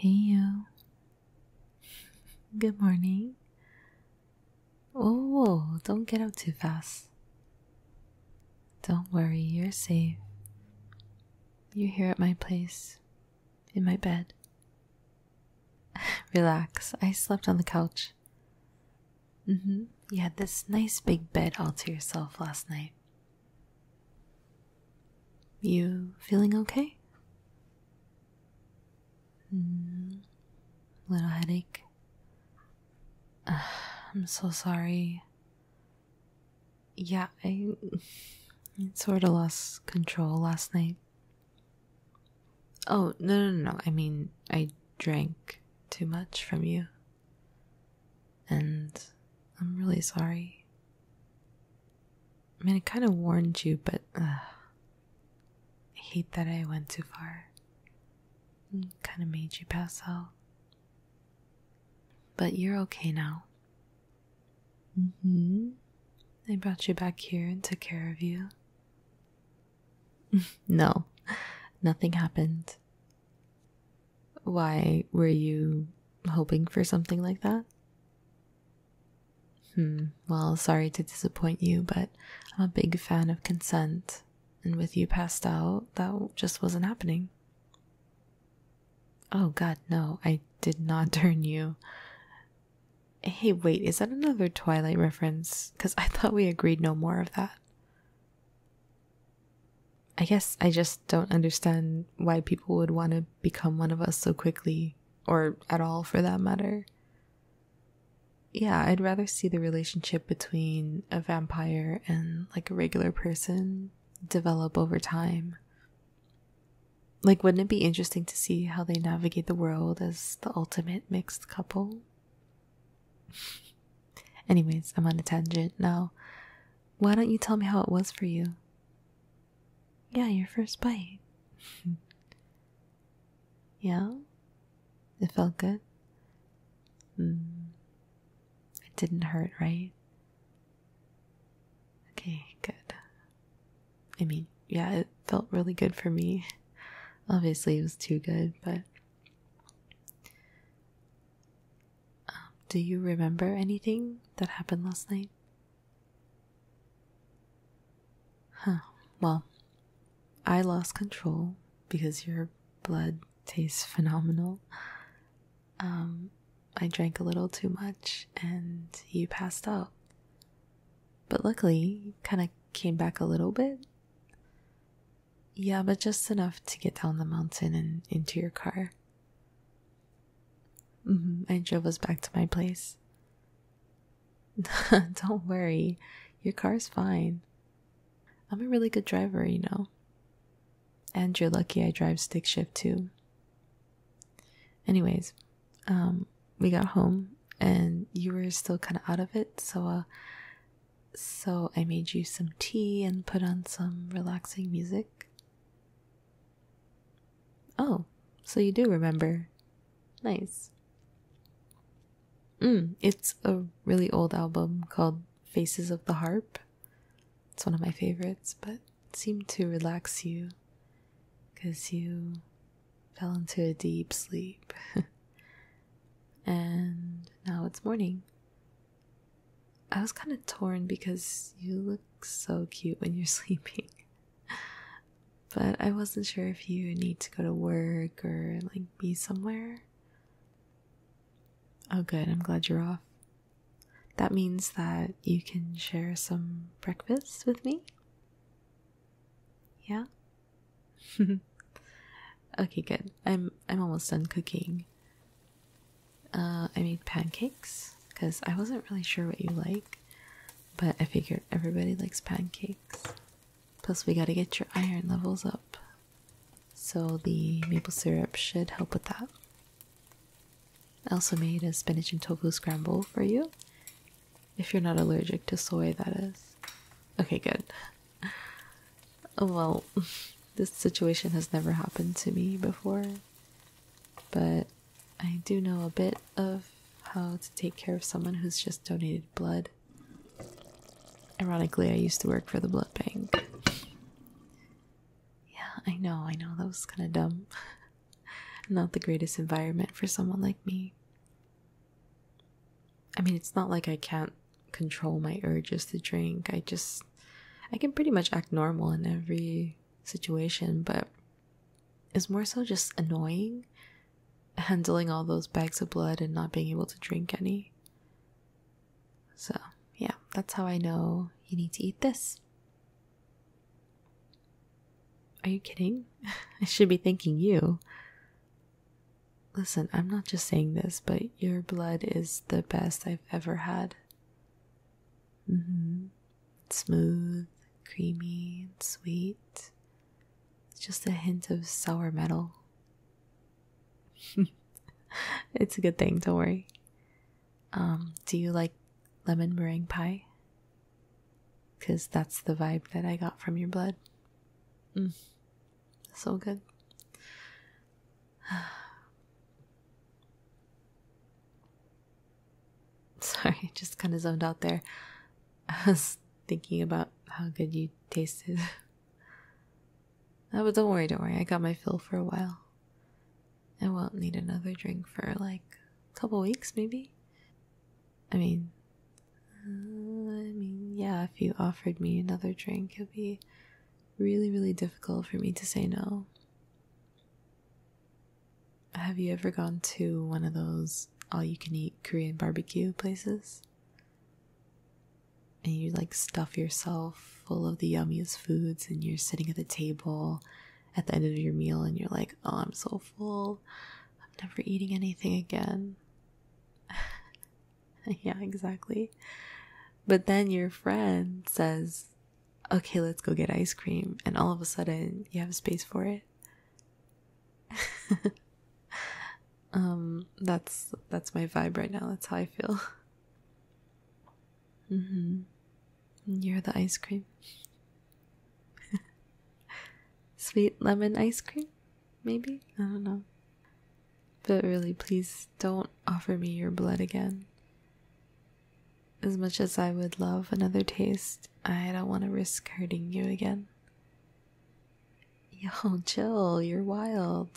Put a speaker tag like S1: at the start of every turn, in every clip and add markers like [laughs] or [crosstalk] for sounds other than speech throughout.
S1: Hey you. Good morning. Oh, don't get up too fast. Don't worry, you're safe. You're here at my place, in my bed. [laughs] Relax, I slept on the couch. Mm hmm. You had this nice big bed all to yourself last night. You feeling okay? Mm, little headache. I'm so sorry. Yeah, I [laughs] sort of lost control last night. Oh, no, no, no. I mean, I drank too much from you. And I'm really sorry. I mean, I kind of warned you, but I hate that I went too far. Kind of made you pass out. But you're okay now. Mm hmm. I brought you back here and took care of you. [laughs] no, nothing happened. Why were you hoping for something like that? Hmm, well, sorry to disappoint you, but I'm a big fan of consent, and with you passed out, that just wasn't happening. Oh god, no, I did not [laughs] turn you. Hey, wait, is that another Twilight reference? Because I thought we agreed no more of that. I guess I just don't understand why people would want to become one of us so quickly, or at all for that matter. Yeah, I'd rather see the relationship between a vampire and like a regular person develop over time. Like, wouldn't it be interesting to see how they navigate the world as the ultimate mixed couple? [laughs] Anyways, I'm on a tangent now. Why don't you tell me how it was for you? Yeah, your first bite. [laughs] yeah? It felt good? Hmm. It didn't hurt, right? Okay, good. I mean, yeah, it felt really good for me. [laughs] Obviously, it was too good, but. Um, do you remember anything that happened last night? Huh. Well, I lost control because your blood tastes phenomenal. Um, I drank a little too much and you passed out. But luckily, kind of came back a little bit. Yeah, but just enough to get down the mountain and into your car. Mm-hmm. I drove us back to my place. [laughs] Don't worry, your car's fine. I'm a really good driver, you know. And you're lucky I drive stick shift too. Anyways, um, we got home and you were still kind of out of it, so uh, so I made you some tea and put on some relaxing music. Oh, so you do remember. Nice. Mm, it's a really old album called Faces of the Harp. It's one of my favorites, but seemed to relax you because you fell into a deep sleep. [laughs] and now it's morning. I was kind of torn because you look so cute when you're [laughs] sleeping but I wasn't sure if you need to go to work or like be somewhere. Oh, good, I'm glad you're off. That means that you can share some breakfast with me? Yeah? [laughs] okay, good. I'm I'm almost done cooking. Uh, I made pancakes because I wasn't really sure what you like. But I figured everybody likes pancakes. Plus, we gotta get your iron levels up. So, the maple syrup should help with that. I also made a spinach and tofu scramble for you. If you're not allergic to soy, that is. Okay, good. [laughs] Well, [laughs] this situation has never happened to me before, but I do know a bit of how to take care of someone who's just donated blood. Ironically, I used to work for the blood bank. Yeah, I know, I know, that was kind of dumb. [laughs] not the greatest environment for someone like me. I mean, it's not like I can't control my urges to drink. I just. I can pretty much act normal in every situation, but is more so just annoying handling all those bags of blood and not being able to drink any. So, yeah, that's how I know you need to eat this. Are you kidding? [laughs] I should be thanking you. Listen, I'm not just saying this, but your blood is the best I've ever had. Mm -hmm smooth, creamy, and sweet. It's just a hint of sour metal. [laughs] it's a good thing, don't worry. Um, do you like lemon meringue pie? Because that's the vibe that I got from your blood. Mm. So good. [sighs] [laughs] Sorry, just kind of zoned out there. [laughs] I was thinking about how good you tasted. [laughs] oh, but don't worry, don't worry. I got my fill for a while. I won't need another drink for like a couple weeks, maybe. I mean, uh, I mean, yeah. If you offered me another drink, it'd be really, really difficult for me to say no. Have you ever gone to one of those all you can eat Korean barbecue places? And you like stuff yourself full of the yummiest foods, and you're sitting at the table at the end of your meal, and you're like, Oh, I'm so full, I'm never eating anything again. [laughs] yeah, exactly. But then your friend says, Okay, let's go get ice cream, and all of a sudden you have space for it. [laughs] um that's that's my vibe right now. That's how I feel. [laughs] Mhm. You're the ice cream. [laughs] Sweet lemon ice cream? Maybe? I don't know. But really, please don't offer me your blood again. As much as I would love another taste, I don't want to risk hurting you again. Yo, [laughs] chill, you're wild.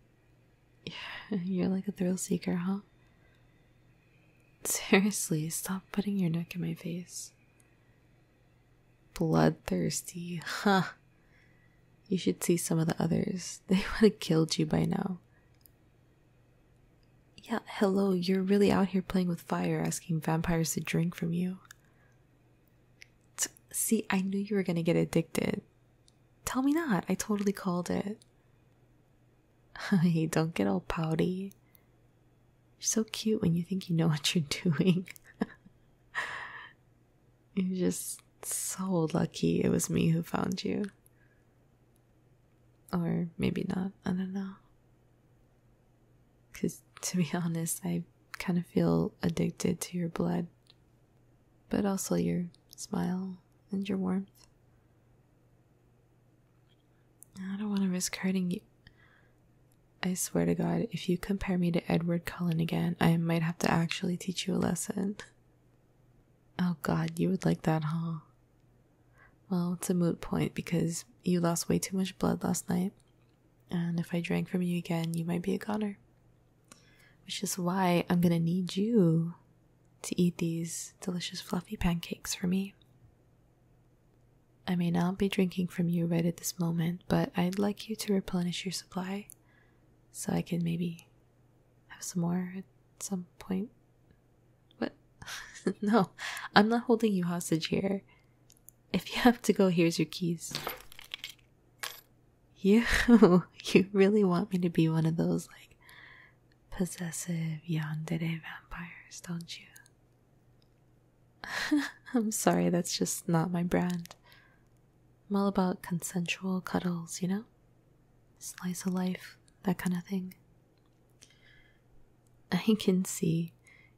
S1: [laughs] You're like a thrill seeker, huh? Seriously, stop putting your neck in my face. Bloodthirsty, huh? You should see some of the others. [laughs] They would have killed you by now. Yeah, hello, you're really out here playing with fire, asking vampires to drink from you. See, I knew you were gonna get addicted. Tell me not, I totally called it. [laughs] Hey, don't get all pouty. You're so cute when you think you know [laughs] what you're doing. [laughs] you're just so lucky it was me who found you. Or maybe not. I don't know. Because to be [laughs] honest, I kind of feel addicted to your blood, but also your smile and your warmth. I don't want to risk hurting you. I swear to God, if you compare me to Edward Cullen again, I might have to actually teach you a lesson. Oh God, you would like that, huh? Well, it's a moot point because you lost way too much blood last night, and if I drank from you again, you might be a goner. Which is why I'm gonna need you to eat these delicious fluffy pancakes for me. I may not be drinking from you right at this moment, but I'd like you to replenish your supply so I can maybe have some more at some point what? [laughs] no, I'm not holding you hostage here. If you have to go, here's your keys. You, [laughs] you really want me to be one of those, like, possessive yandere vampires, don't you? [laughs] I'm sorry, that's just not my brand. I'm all about consensual cuddles, you know? Slice of life, that kind of thing. I can see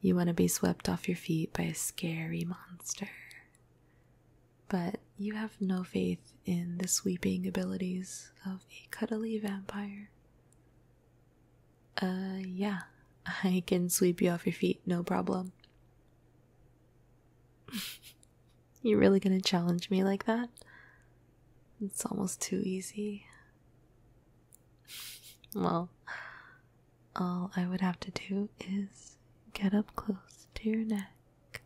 S1: you want to be swept off your feet by a scary monster. But you have no faith in the sweeping abilities of a cuddly vampire. Uh, yeah, I can sweep you off your feet, no problem. [laughs] You're really gonna challenge me like that? It's almost too easy well, all I would have to do is get up close to your neck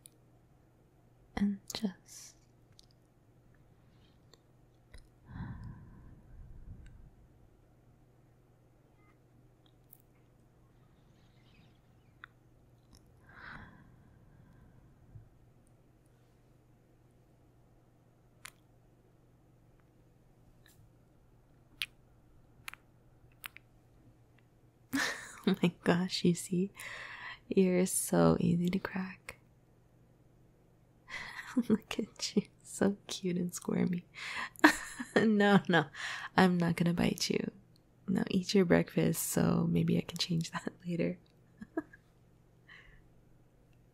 S1: and just [laughs] oh my gosh, you see, ears so easy to crack. [laughs] Look at you, so cute and squirmy. [laughs] no, no, I'm not gonna bite you. Now eat your breakfast so maybe I can change that later.